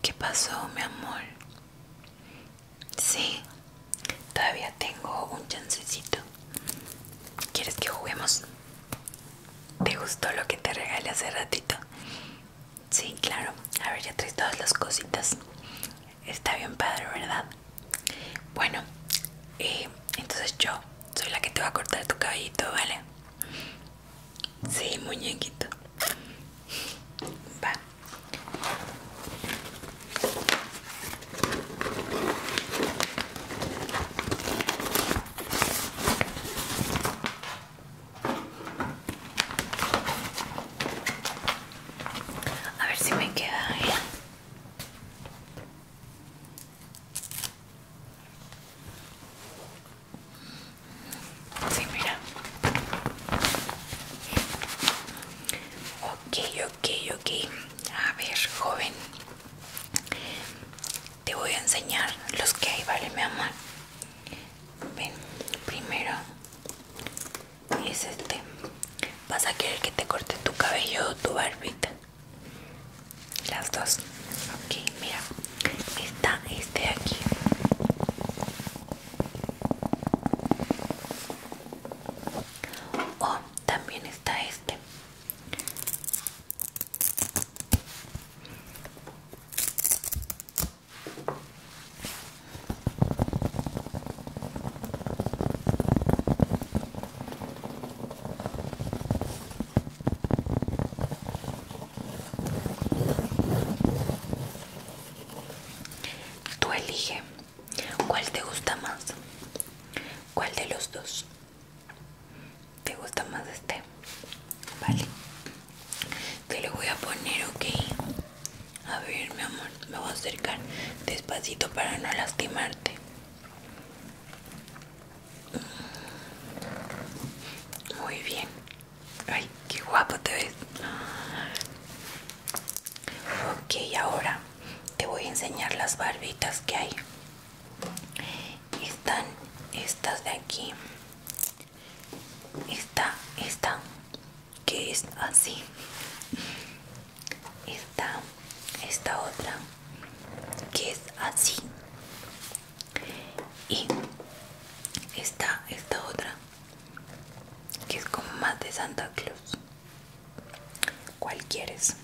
¿Qué pasó, mi amor? Sí, todavía tengo un chancecito. ¿Quieres que juguemos? ¿Te gustó lo que te regalé hace ratito? Sí, claro. A ver, ya traes todas las cositas. Está bien padre, ¿verdad? Bueno, eh, entonces yo soy la que te va a cortar tu cabellito, ¿vale? Sí, muñequito. Va. A ver si me queda bien. ¿eh? Sí, mira. Ok, ok, ok. A ver, joven. Te voy a enseñar los que hay, ¿vale, mi amor? Ven, primero es este. Vas a querer que te corte tu cabello o tu barbita. Las dos. okay, mira. Está este aquí. O oh, también está este. Tú elige cuál te gusta más, cuál de los dos te gusta más este, vale. Te lo voy a poner, ok. A ver, mi amor, me voy a acercar despacito para no lastimarte. Muy bien. Ay, qué guapo te ves. Ok, ahora te voy a enseñar las barbitas que hay. Están estas de aquí. Esta, esta, que es así. está esta otra, que es así y está esta otra que es como más de Santa Claus ¿Cuál quieres?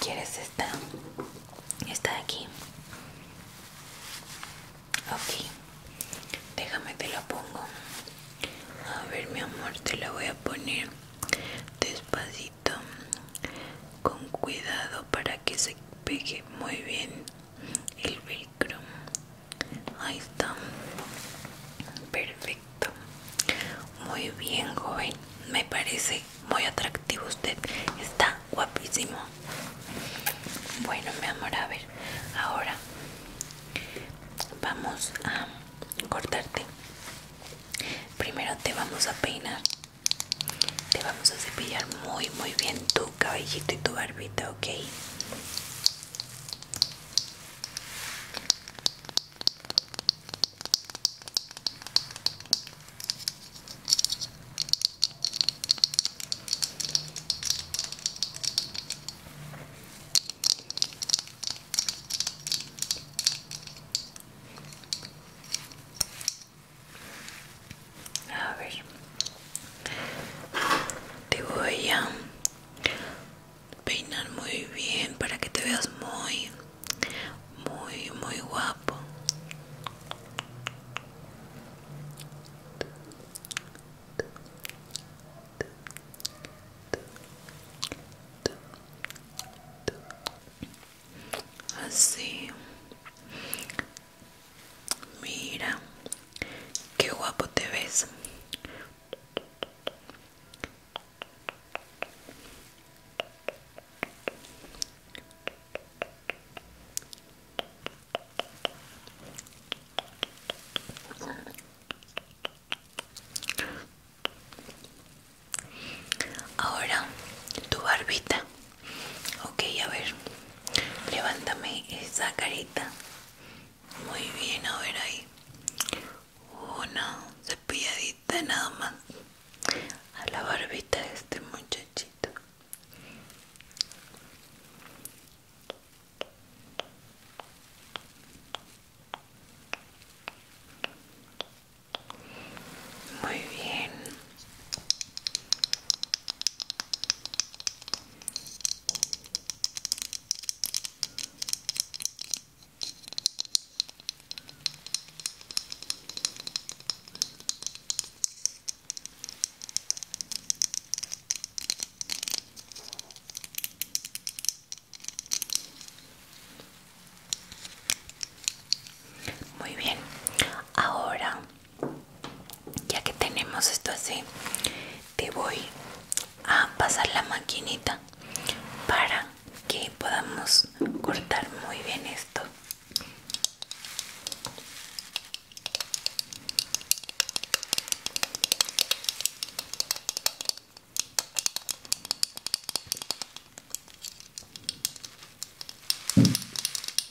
¿Quieres esta? Está aquí. Ok. Déjame te la pongo. A ver, mi amor, te la voy a poner despacito. Con cuidado para que se pegue muy bien el velcro. Ahí está. Perfecto. Muy bien, joven. Me parece muy atractivo usted. Está guapísimo. Bueno, mi amor, a ver. Ahora vamos a cortarte. Primero te vamos a peinar. Te vamos a cepillar muy, muy bien tu cabellito y tu barbita, ¿ok? A ver, te voy a Peinar muy bien para que te veas muy, muy, muy guapo. Así. Mira, Qué guapo te ves. Ahora tu barbita. Ok, a ver. Levántame esa carita. Muy bien, a ver ahí. Una cepilladita nada más. A la barbita de este muchachito. Muy bien. Muy bien, ahora ya que tenemos esto así te voy a pasar la maquinita para que podamos cortar muy bien esto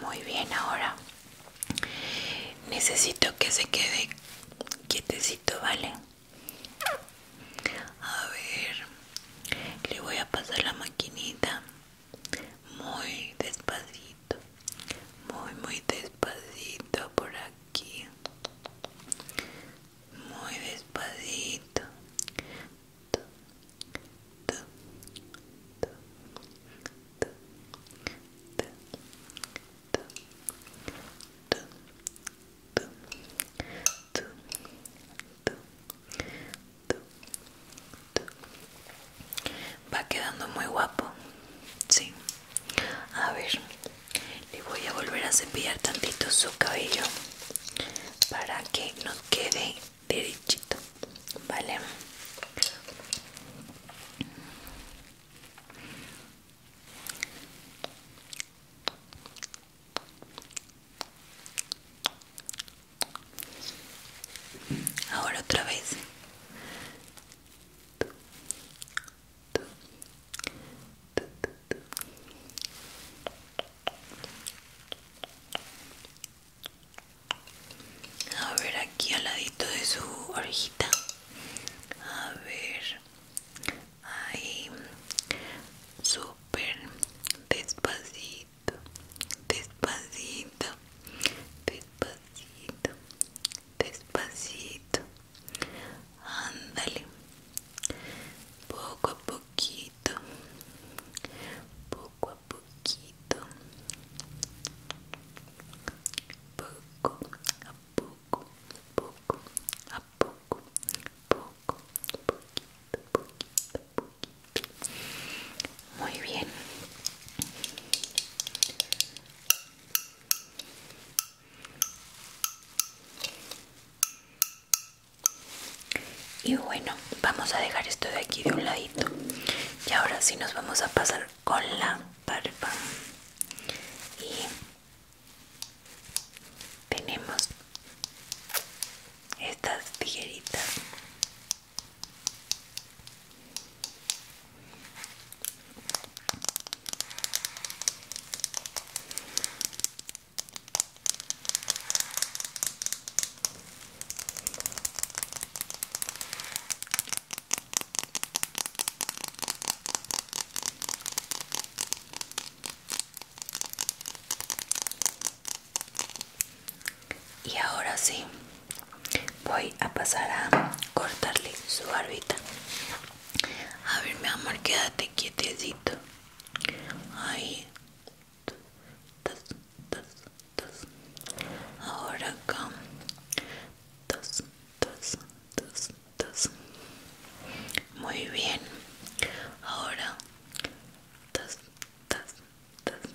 Muy bien, ahora necesito que se quede quietecito, ¿vale? A ver, le voy a pasar la maquinita muy despacito, muy, muy despacito por aquí muy despacito va quedando muy guapo sí a ver le voy a volver a cepillar tantito su cabello para que nos quede derechito vale Ahora otra vez. A ver aquí al ladito de su orejita. A ver. Ahí. Súper. Despacito. Despacito. Despacito. Despacito ándale poco a poquito poco a poquito poco a poco poco a poco poco poquito poquito muy bien y bueno, vamos a dejar esto de aquí de un ladito. Y ahora sí nos vamos a pasar con la barba. Y tenemos estas tijeritas y ahora sí, voy a pasar a cortarle su barbita. A ver, mi amor, quédate quietecito. Ahí. Dos, dos, tos, Ahora acá. Dos, dos, dos, tos, Muy bien. Ahora. tos, dos, dos. Dos,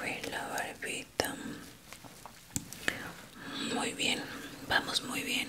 Ve la barbita. Muy bien, vamos muy bien.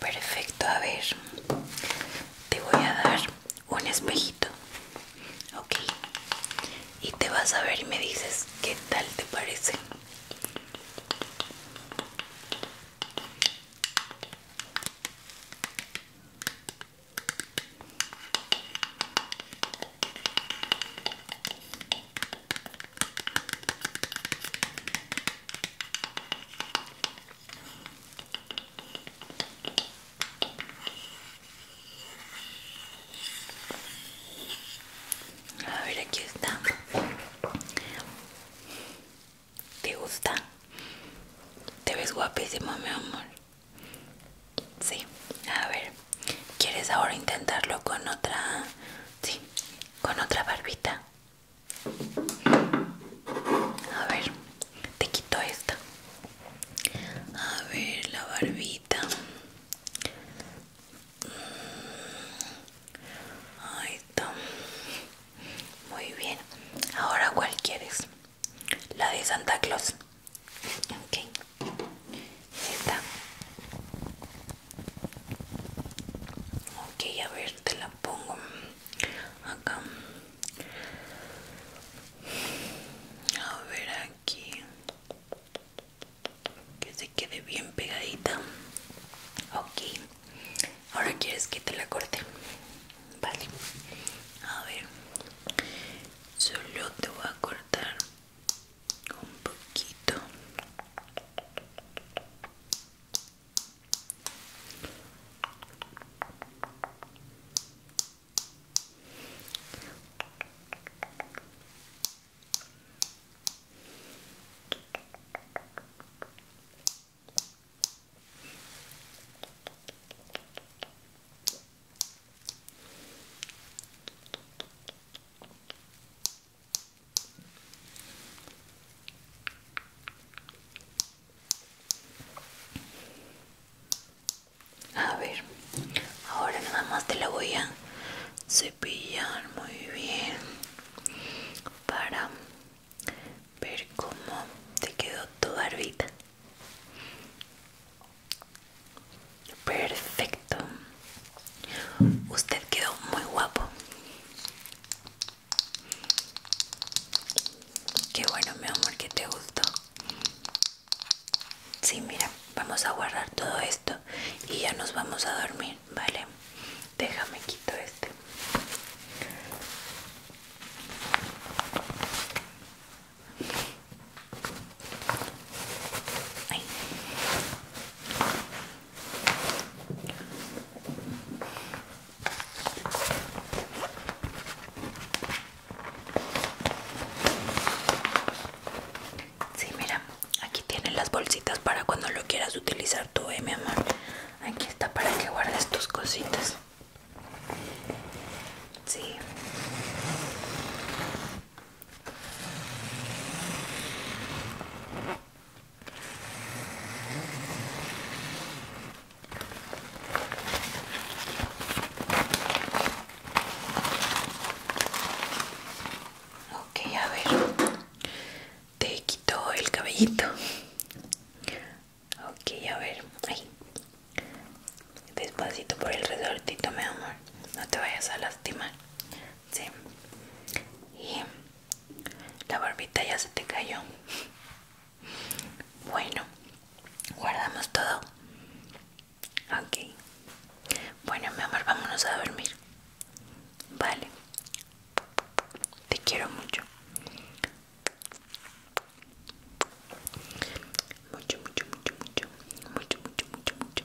Perfecto, a ver, te voy a dar un espejito, okay, y te vas a ver y me dices qué tal te parece. A ver, aquí está. ¿Te gusta? Te ves guapísimo, mi amor. Sí, a ver. ¿Quieres ahora intentarlo con otra? Sí, con otra barbita. A ver, te quito esta. A ver, la barbita. Mm, ahí está. Muy bien. Ahora, ¿cuál quieres? La de Santa Claus. Ok. ¿Está? Ok, a ver, te la pongo acá. A ver aquí. Que se quede bien pegadita. Ok. Ahora quieres que te la corte. Vale. A ver. Solo te voy a cortar un poquito a ver, ahora nada más te la voy a cepillar muy bien para ver cómo te quedó tu barbita. Perfecto. Usted quedó muy guapo. Qué bueno, mi amor, que te gustó. Sí, mira, vamos a guardar todo esto y ya nos vamos a dormir, ¿vale? Déjame quito este. Sí, mira, aquí tienen las bolsitas para cuando lo quieras utilizar tú, eh, mi amor. Aquí está para que guardes tus cositas. Sí. Okay a ver, te quito el cabellito. Ok, a ver, Despacito por el resortito, mi amor. No te vayas a lastimar. Sí. Y la barbita ya se te cayó. Bueno, guardamos todo. Ok. Bueno, mi amor, vámonos a dormir. Vale. Te quiero mucho. Mucho, mucho, mucho, mucho. Mucho, mucho, mucho, mucho.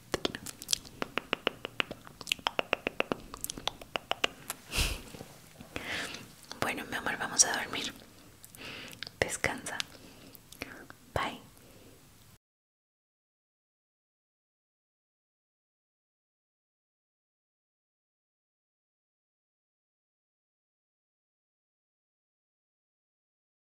Bueno, mi amor, vamos a dormir. Descansa. Bye.